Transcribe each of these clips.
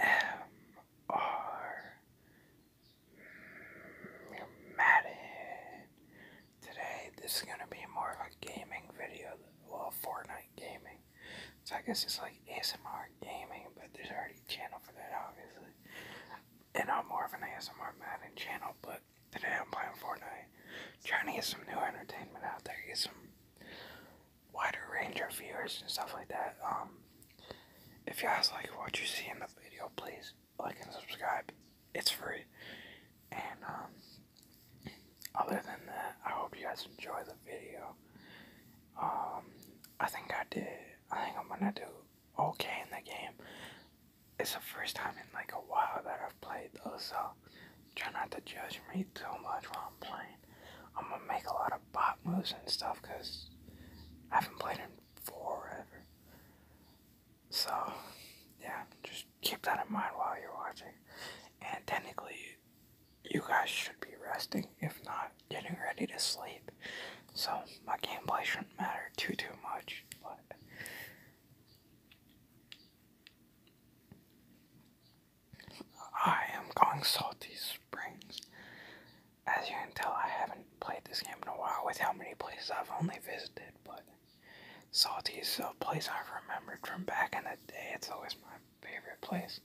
ASMR Madden. Today, this is gonna be more of a gaming video, well, Fortnite gaming. So I guess it's like ASMR gaming, but there's already a channel for that, obviously. And I'm more of an ASMR Madden channel, but today I'm playing Fortnite, trying to get some new entertainment out there, get some wider range of viewers and stuff like that. Um, if you guys like what you see in the video, please like and subscribe. It's free. And um, other than that, I hope you guys enjoy the video. Um, I think I did. I think I'm gonna do okay in the game. It's the first time in like a while that I've played though, so Try not to judge me too much while I'm playing. I'm gonna make a lot of bot moves and stuff because I haven't played in forever. So, yeah, just keep that in mind while you're watching. And technically, you guys should be resting, if not getting ready to sleep. So, my game play shouldn't matter too, too much. But, I am going Salty Springs. As you can tell, I haven't played this game in a while with how many places I've only visited, but Salty is a place I've remembered from back in the day. It's always my favorite place.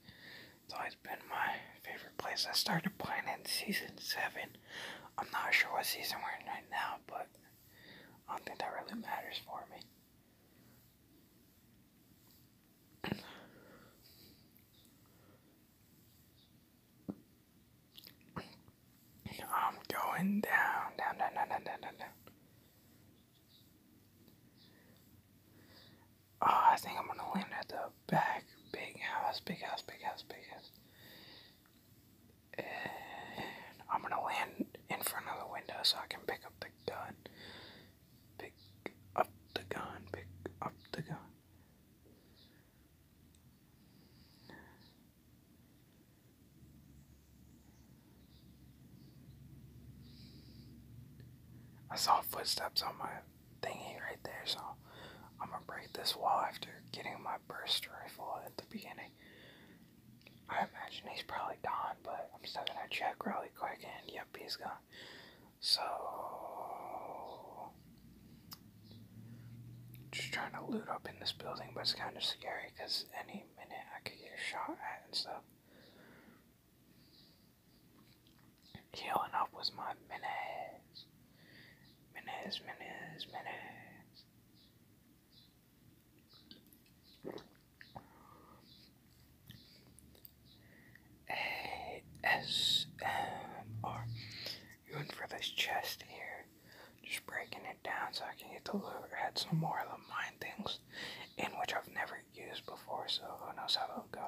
It's always been my favorite place. I started playing in season 7. I'm not sure what season we're in right now, but I don't think that really matters for me. I'm going down, down, down, down, down, down, down, down. Oh, I think I'm gonna land at the back. Big house, big house, big house, big house. And I'm gonna land in front of the window so I can pick up the big Pick up the gun, pick up the gun. I saw footsteps on my thingy right there, so I'm gonna break this wall after getting my burst rifle at the beginning. I imagine he's probably gone, but I'm still gonna check really quick and yep, he's gone. So just trying to loot up in this building, but it's kind of scary because any minute I could get shot at and stuff. Healing up was my minutes. Minutes, minutes, minutes. ASMR. You in for this chest here. Just breaking it down so I can get the loot. at some more of the mine things in which I've never used before, so who knows how it'll go.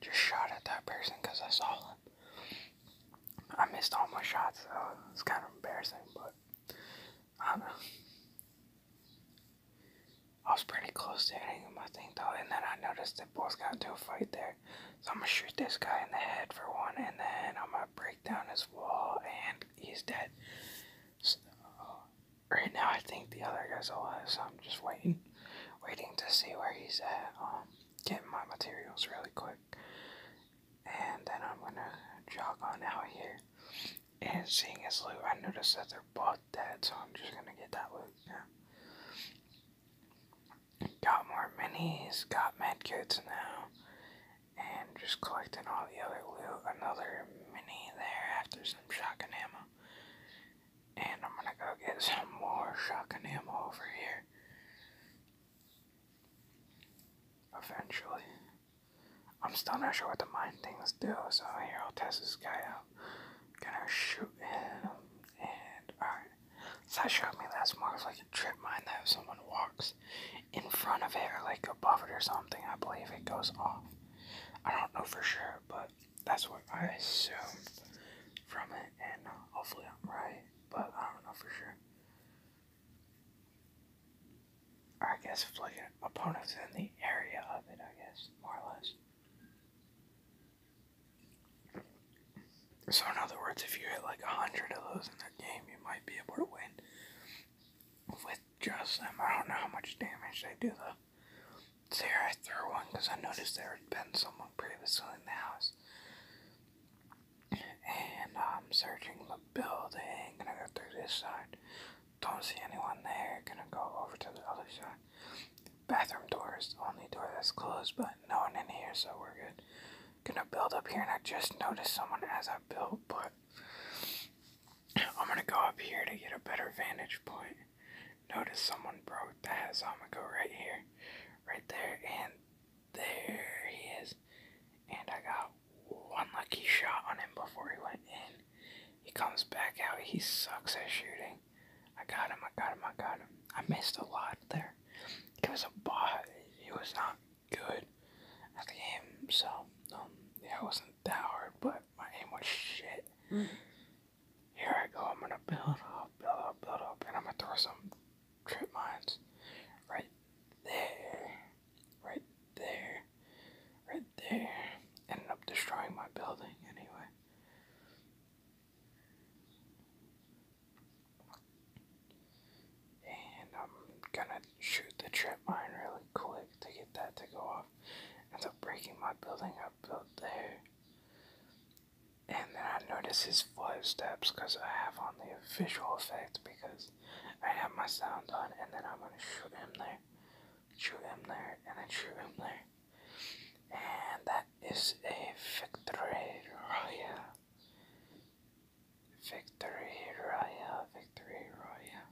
Just shot at that person because I saw him. I missed all my shots, so it's kind of embarrassing, but I was pretty close to hitting my thing though, and then I noticed that both got into a fight there. So I'm gonna shoot this guy in the head for one, and then I'm gonna break down his wall, and he's dead. So, uh, right now, I think the other guy's alive, so I'm just waiting, waiting to see where he's at. Um, getting my materials really quick, and then I'm gonna jog on out here. And seeing his loot, I noticed that they're both dead, so I'm just gonna get that loot. Yeah. Got more minis, got med medkits now, and just collecting all the other loot. Another mini there after some shotgun ammo. And I'm gonna go get some more shotgun ammo over here. Eventually. I'm still not sure what the mind things do, so here I'll test this guy out. Gonna shoot him, and alright. So that showed me that's more of like a trip mine that if someone walks in front of it or like above it or something, I believe it goes off. I don't know for sure, but that's what I assume from it, and uh, hopefully I'm right, but I don't know for sure. I guess flicking opponents in the area of it, I guess, more or less. So in other words, if you hit like a hundred of those in that game, you might be able to win with just them. I don't know how much damage they do though. So I threw one because I noticed there had been someone previously in the house. And I'm um, searching the building, and I go through this side. Don't see anyone there. Gonna go over to the other side. Bathroom door is the only door that's closed, but no one in here, so we're good. Gonna build up here, and I just noticed someone as I built, but I'm gonna go up here to get a better vantage point. Notice someone broke that, so I'm gonna go right here, right there, and there he is. And I got one lucky shot on him before he went in. He comes back out. He sucks at shooting. I got him. I got him. I got him. I missed a lot there. It was a bot. It was not good at the game. So, um, yeah, it wasn't that hard, but my aim was shit. Mm. Here I go. I'm gonna build up, build up, build up, and I'm gonna throw some trip mines right there right there, right there. end up destroying my building anyway. And I'm gonna shoot the trip mine really quick to get that to go off. Ends up breaking my building up built there. And then I notice his footsteps because I have on the visual effect because I have my sound on and then I'm gonna shoot him there true M and a true M And that is a victory royale. Victory royale, victory royale.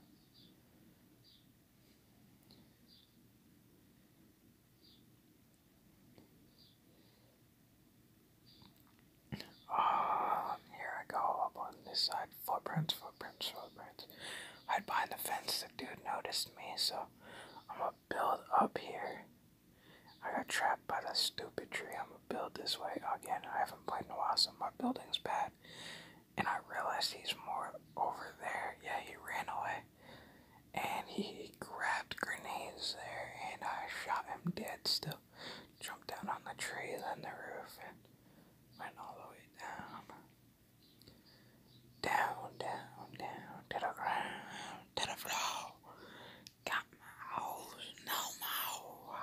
Oh, here I go up on this side footprints, footprints, footprints. Right behind the fence, the dude noticed me, so I'm gonna build up here. I got trapped by that stupid tree. I'm gonna build this way again. I haven't played in a while, so my building's bad. And I realized he's more over there. Yeah, he ran away. And he grabbed grenades there, and I shot him dead still. Jumped down on the tree, then the roof, and Went all the way down. Down, down, down, to the ground, to the floor. Got my hoes, no more.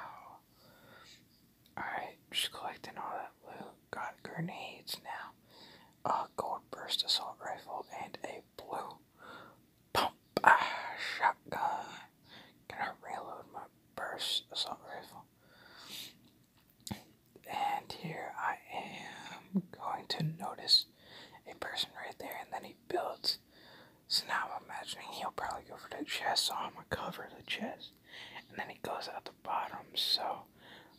Alright, just collecting all that blue. Got grenades now. A gold burst assault rifle and a blue pump shotgun. Gonna reload my burst assault rifle. And here I am going to notice a person right there, and then he builds. So now I'm imagining he'll probably go for the chest, so I'm gonna cover the chest. And then he goes out the bottom, so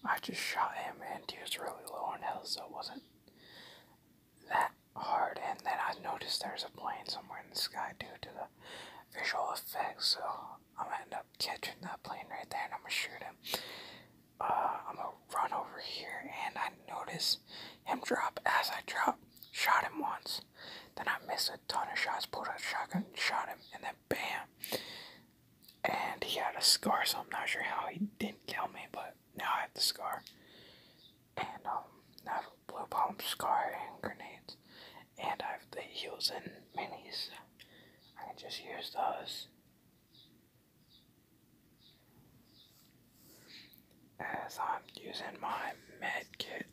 I just shot him, and he was really low on health, so it wasn't that hard. And then I noticed there's a plane somewhere in the sky due to the visual effects, so I'm gonna end up catching that plane right there and I'm gonna shoot him. Uh, I'm gonna run over here and I notice him drop as I drop, shot him once. Then I missed a ton of shots, pulled out a shotgun, shot him, and then bam. And he had a scar, so I'm not sure how he didn't kill me, but now I have the scar. And um, I have a blue bomb scar and grenades and I have the heels minis. I can just use those. As I'm using my med kit.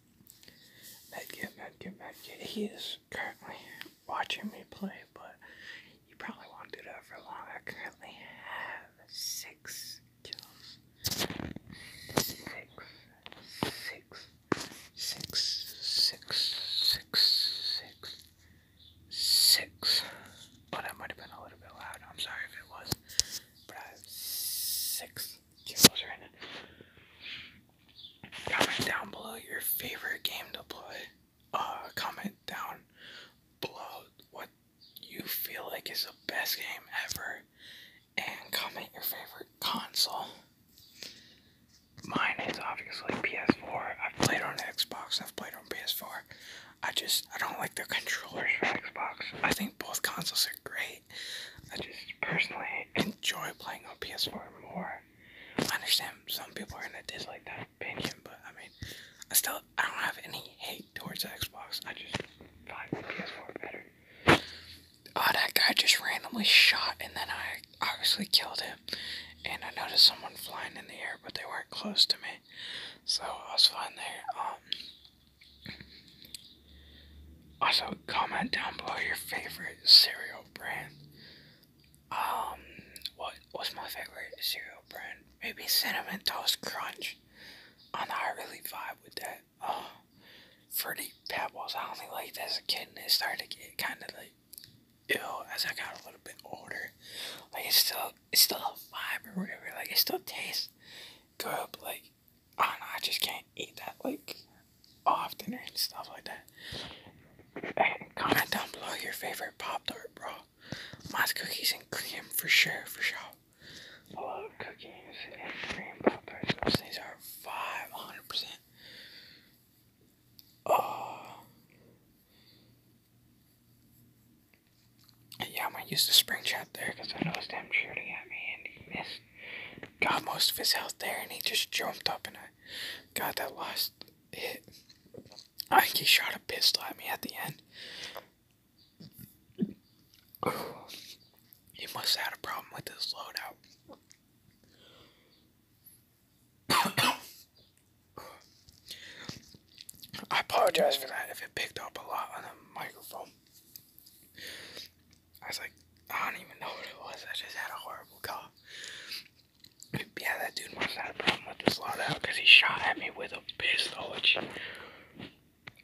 Med kit, med kit, med kit. He is currently watching me play, but you probably won't do that for long. I currently have six kills. Six six, six, six, six, six, six. But oh, I might have been a little bit loud. I'm sorry if it was. But I have six zeros in it. Comment down below your favorite game to play. Uh, comment down below what you feel like is the best game ever and comment your favorite console mine is obviously PS4. I've played on Xbox, I've played on PS4. I just, I don't like the controllers for Xbox. I think both consoles are great. I just personally enjoy playing on PS4 more. I understand some people are gonna dislike that opinion, but I mean, I still, I don't have any hate towards Xbox. I just find PS4 better. Oh, that guy just randomly shot, and then I obviously killed him. And I noticed someone flying in the air, but they weren't close to me, so I was flying there. Um, also, comment down below your favorite cereal brand. Um, what was my favorite cereal brand? Maybe Cinnamon Toast Crunch. I know I really vibe with that. Uh, fruity pebbles. I only liked as a kid, and it started to get kind of like ill as I got a little bit older. Like it's still, it's still a vibe or whatever. Like it still tastes good, like I don't know. I just can't eat that like often and stuff like that. comment down below your favorite Pop Tart, bro. Mine's cookies and cream for sure, for sure. I cookies and cream Pop Tarts. These are five hundred percent. Yeah, I'm gonna use the spring trap there because I noticed him shooting at me and he missed. Got most of his health there and he just jumped up and I got that last hit. I think he shot a pistol at me at the end. He must have had a problem with his loadout. I apologize for that if it picked up a lot on the microphone. I was like, I don't even know what it was. I just had a horrible cough. Yeah, that dude must have had a problem with this loadout because he shot at me with a pistol, which I mean,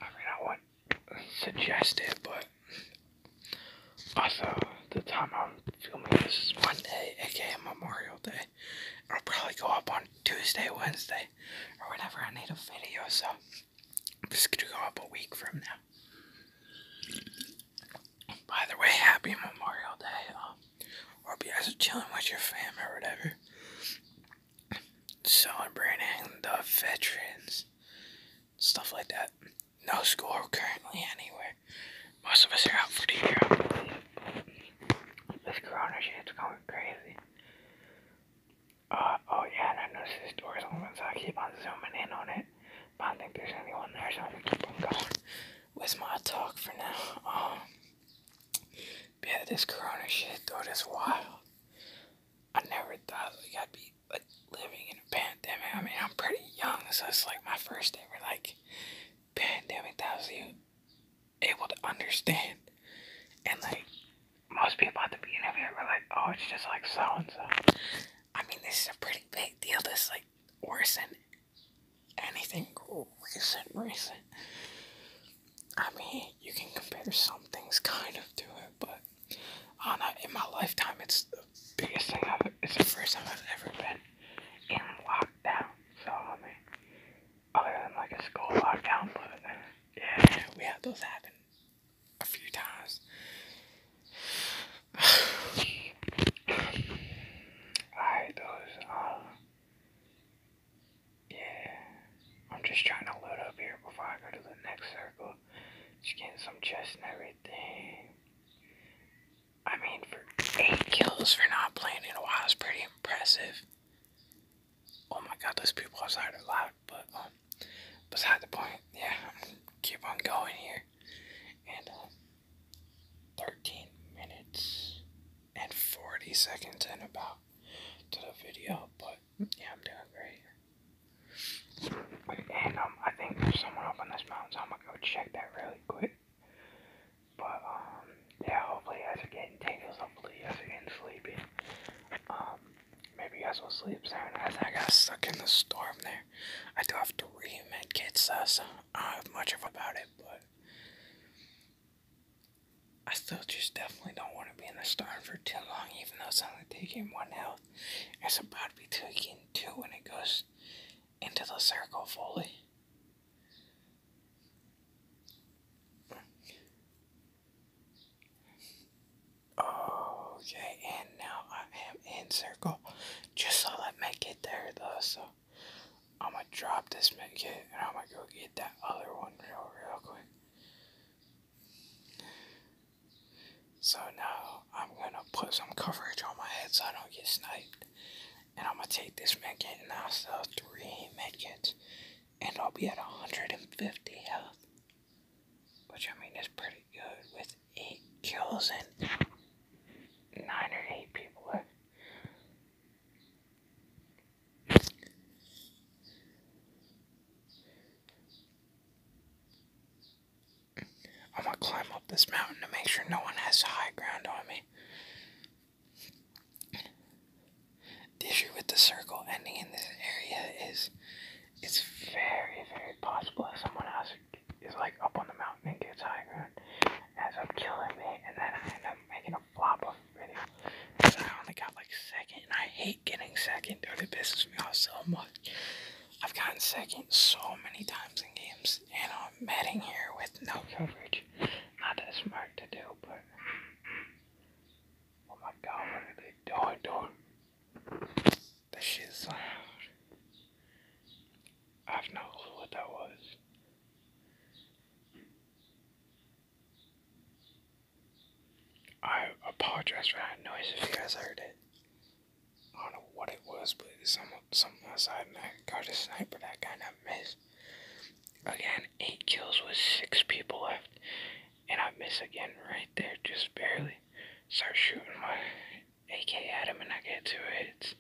I wouldn't suggest but also, the time I'm filming this is Monday, aka Memorial Day. It'll probably go up on Tuesday, Wednesday, or whenever I need a video, so gonna go up a week from now. By the way, happy Memorial Day. Um, hope you guys are chilling with your fam or whatever. Celebrating the veterans, stuff like that no score currently anywhere. Most of us are out for the year. This corona shit's going crazy. Uh, oh yeah, I noticed this door's open, so I keep on zooming in on it. But I don't think there's anyone there, so I'm gonna keep on going with my talk for now. Um, yeah, this corona shit, though, it's wild. I never thought we I'd be like living in a pandemic. I mean, I'm pretty young, so it's like my first ever like pandemic that I was even able to understand. And like most people at to be in it were like, "Oh, it's just like so and so." I mean, this is a pretty big deal. This like worse than anything recent, recent. I mean, you can compare some things kind of to it, but I know, in my lifetime, it's the biggest thing I've. It's the first time I've ever been in lockdown. So I mean, other than like a school lockdown, but yeah, we had those happen a few times. Alright, those. Um, yeah, I'm just trying to load up here before I go to the next circle so getting some chests and everything. I mean, for eight kills for not playing in a while is pretty impressive. Oh my god, those people outside are loud, but um, beside the point, yeah, keep on going here. And uh, 13 minutes and 40 seconds in about to the video, but yeah, I'm doing great. And um, I think there's someone up on this mountain, so I'm gonna go check that really quick. But um, yeah, hopefully guys are getting tingles. Hopefully guys are getting sleepy. Um, maybe guys will sleep sound. I I got stuck in the storm there. I do have three med kits, uh, I don't have much of about it, but I still just definitely don't want to be in the storm for too long, even though it's only taking one health. It's about to be taken two when it goes into the circle fully. Okay, and now I am in circle. Just saw that medkit there though, so I'm gonna drop this medkit and I'm gonna go get that other one real, real quick. So now I'm gonna put some coverage on my head so I don't get sniped. And I'm gonna take this man getting I'll sell three medkits. And I'll be at 150 health. Which I mean is pretty good with 8 kills and 9 or 8 people left. I'm gonna climb up this mountain to make sure no one has high ground on me. The issue with the circle ending in this area is it's very, very possible that someone else is like up on the mountain and gets high ground, ends up killing me, and then I end up making a flop of video. I only got like second, and I hate getting second, dude. It pisses me off so much. I've gotten second so many times in games, and I'm metting here with no coverage. Not as smart to do, but. Oh my god, what are they doing, dude? That shit's loud. I have no clue what that was. I apologize for that noise if you guys heard it. I don't know what it was, but some something outside, and got a sniper that kind of missed. Again, eight kills with six people left, and I miss again right there, just barely. Start shooting my AK at him, and I get two hits.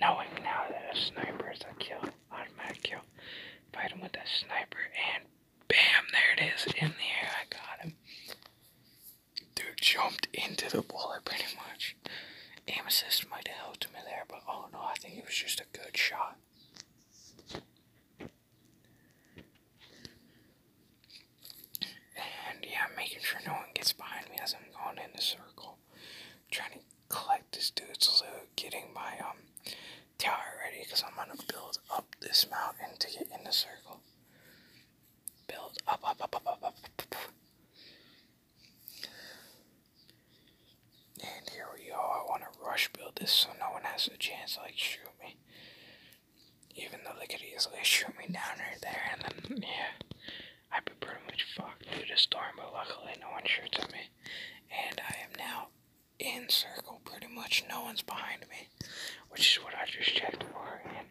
Knowing now that a sniper is a kill, automatic kill. Fight him with that sniper, and bam, there it is in the air. I got him dude jumped into the bullet pretty much. Amethyst might have helped me there, but oh no, I think it was just a good shot. And yeah, making sure no one gets behind me as I'm going in the circle. trying to collect this dude's loot, getting my um tower ready because I'm gonna build up this mountain to get in the circle. Build up, up, up, up, up, up, And here we go. I want to rush build this so no one has a chance to like shoot me. Even though they could easily shoot me down right there, and then yeah, I'd be pretty much fucked due to storm. But luckily, no one shoots at me, and I am now in circle. Pretty much, no one's behind me which is what I just checked for, and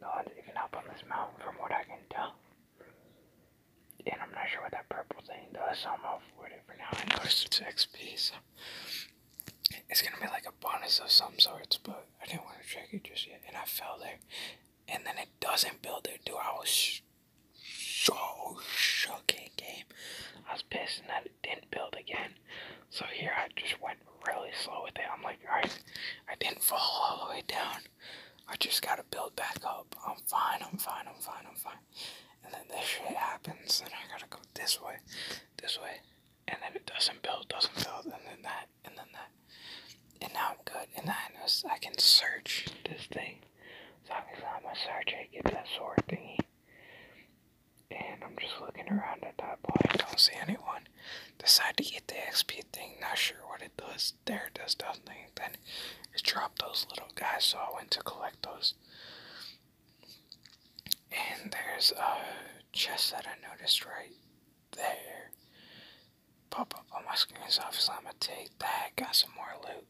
no one's even up on this mountain from what I can tell. And I'm not sure what that purple thing does, I'm off for it for now. I noticed it's XP, so it's gonna be like a bonus of some sorts, but I didn't want to check it just yet. And I fell there, and then it doesn't build it, dude. I was so shook in game. I was pissed, and that it didn't build again. So here I just went really slow with it. I'm like, alright, I didn't fall all the way down. I just gotta build back up. I'm fine, I'm fine, I'm fine, I'm fine. And then this shit happens, and I gotta go this way, this way, and then it doesn't build, doesn't build, and then that, and then that. And now I'm good, and I know I can search this thing. So obviously I'm a search, I get that sword thingy. And I'm just looking around at that point. I don't see anyone. Decide to get the XP thing. Not sure what it does. There does nothing. Then it dropped those little guys, so I went to collect those. And there's a chest that I noticed right there. Pop up on my screen, so I'm gonna take that. Got some more loot,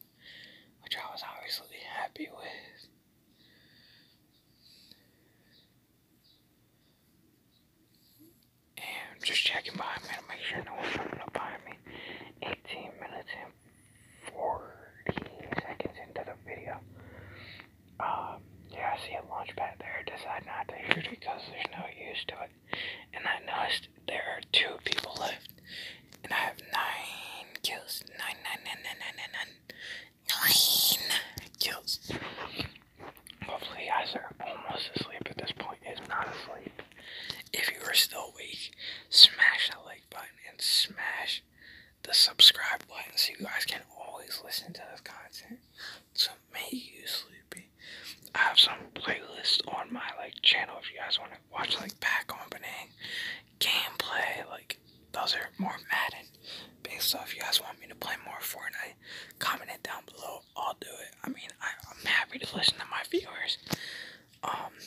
which I was obviously happy with. And just checking behind me to make sure no one's coming up behind me. 18 minutes and 40 seconds into the video. Um, yeah, I see a launch pad there. Decide not to shoot it because there's no use to it. And I noticed there are two people left. And I have nine kills. Nine, nine, nine, nine, nine, nine. Nine kills. Hopefully, guys are almost asleep at this point. If not asleep, if you are still awake, smash that like button and smash the subscribe button so you guys can always listen to this content. to make you sleepy. I have some playlists on my like channel if you guys want to watch like back opening, gameplay, like those are more Madden based. So if you guys want me to play more Fortnite, comment it down below. I'll do it. I mean, I, am happy to listen to my viewers. Um,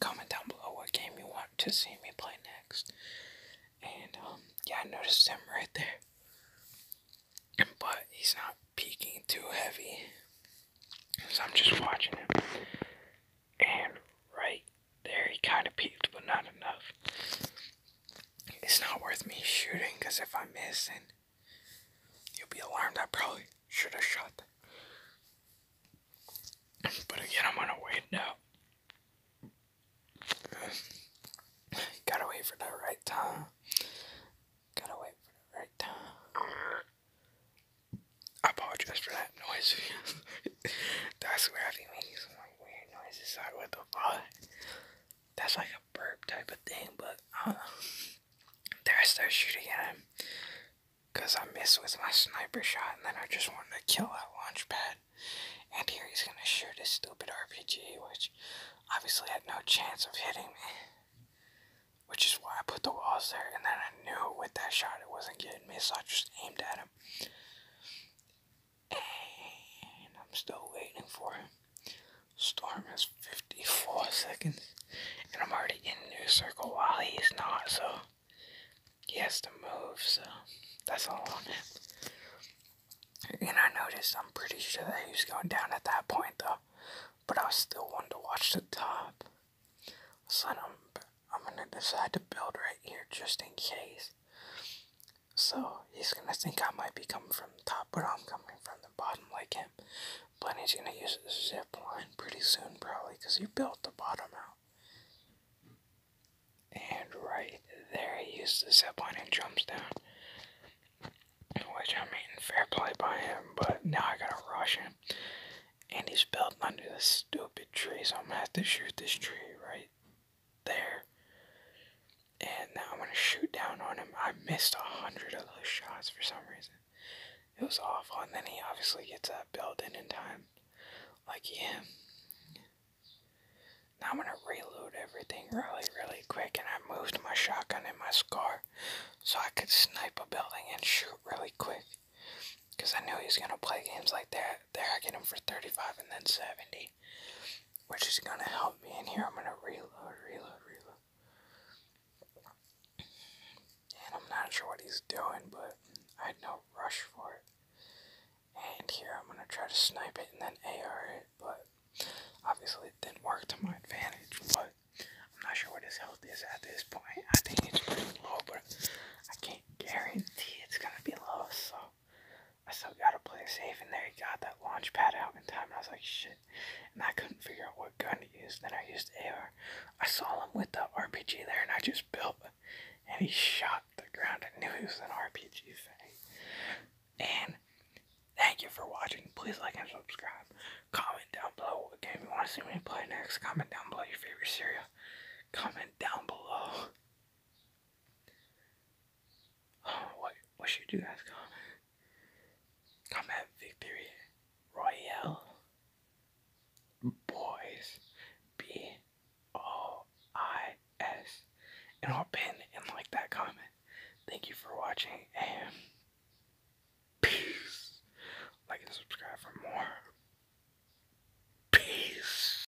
comment down below what game you want to see me play next. And um, yeah, I noticed him right there, but he's not peeking too heavy, so I'm just watching him. And right there he kind of peaked, but not enough. It's not worth me shooting, because if I miss, then you'll be alarmed. I probably should have shot But again, I'm going to wait now. Gotta wait for the right time. Gotta wait for the right time. I apologize for that noise. That's where I think making weird noises like what the fuck? That's like a burp type of thing, but uh, there I start shooting at him because I missed with my sniper shot and then I just wanted to kill that launch pad. And here he's gonna shoot his stupid RPG, which obviously had no chance of hitting me. Which is why I put the walls there, and then I knew with that shot it wasn't getting me, so I just aimed at him. And I'm still waiting for him. Storm has 54 seconds. And I'm already in new circle while he's not, so he has to move, so that's all on him. And I noticed, I'm pretty sure that he's going down at that point, though. But I still wanted to watch the top. So I'm, I'm going to decide to build right here just in case. So he's gonna think I might be coming from the top, but I'm coming from the bottom like him. But he's gonna use the zip line pretty soon, probably, because he built the bottom out. And right there, he used the zip line and jumps down. Which, I mean, fair play by him, but now I gotta rush him. And he's built under the stupid tree, so I'm gonna have to shoot this tree right there. And now I'm gonna shoot down on him. I missed a hundred of those shots for some reason. It was awful. And then he obviously gets that building in time. Like him. Yeah. Now I'm gonna reload everything really, really quick. And I moved my shotgun and my scar so I could snipe a building and shoot really quick. Because I knew he's gonna play games like that. There I get him for 35 and then 70 which is gonna help me in here. I'm gonna reload, reload, reload. And I'm not sure what he's doing, but I had no rush for it. And here I'm gonna try to snipe it and then AR it, but obviously it didn't work to my advantage, but I'm not sure what his health is at this point. I think it's pretty low, but I can't guarantee it's gonna be low, so I still gotta play safe, and there he got that launch pad out in time, I was like, shit. And I couldn't figure out what gun to use. Then I used air. I saw him with the RPG there, and I just built, and he shot the ground. I knew he was an RPG thing. And thank you for watching. Please like and subscribe. Comment down below again if you want to see me play next. Comment down below your favorite cereal. Comment down below What, what should you guys call it? Combat Victory Royale Boys B O I S. And I'll pin and like that comment. Thank you for watching and peace. Like and subscribe for more. Peace.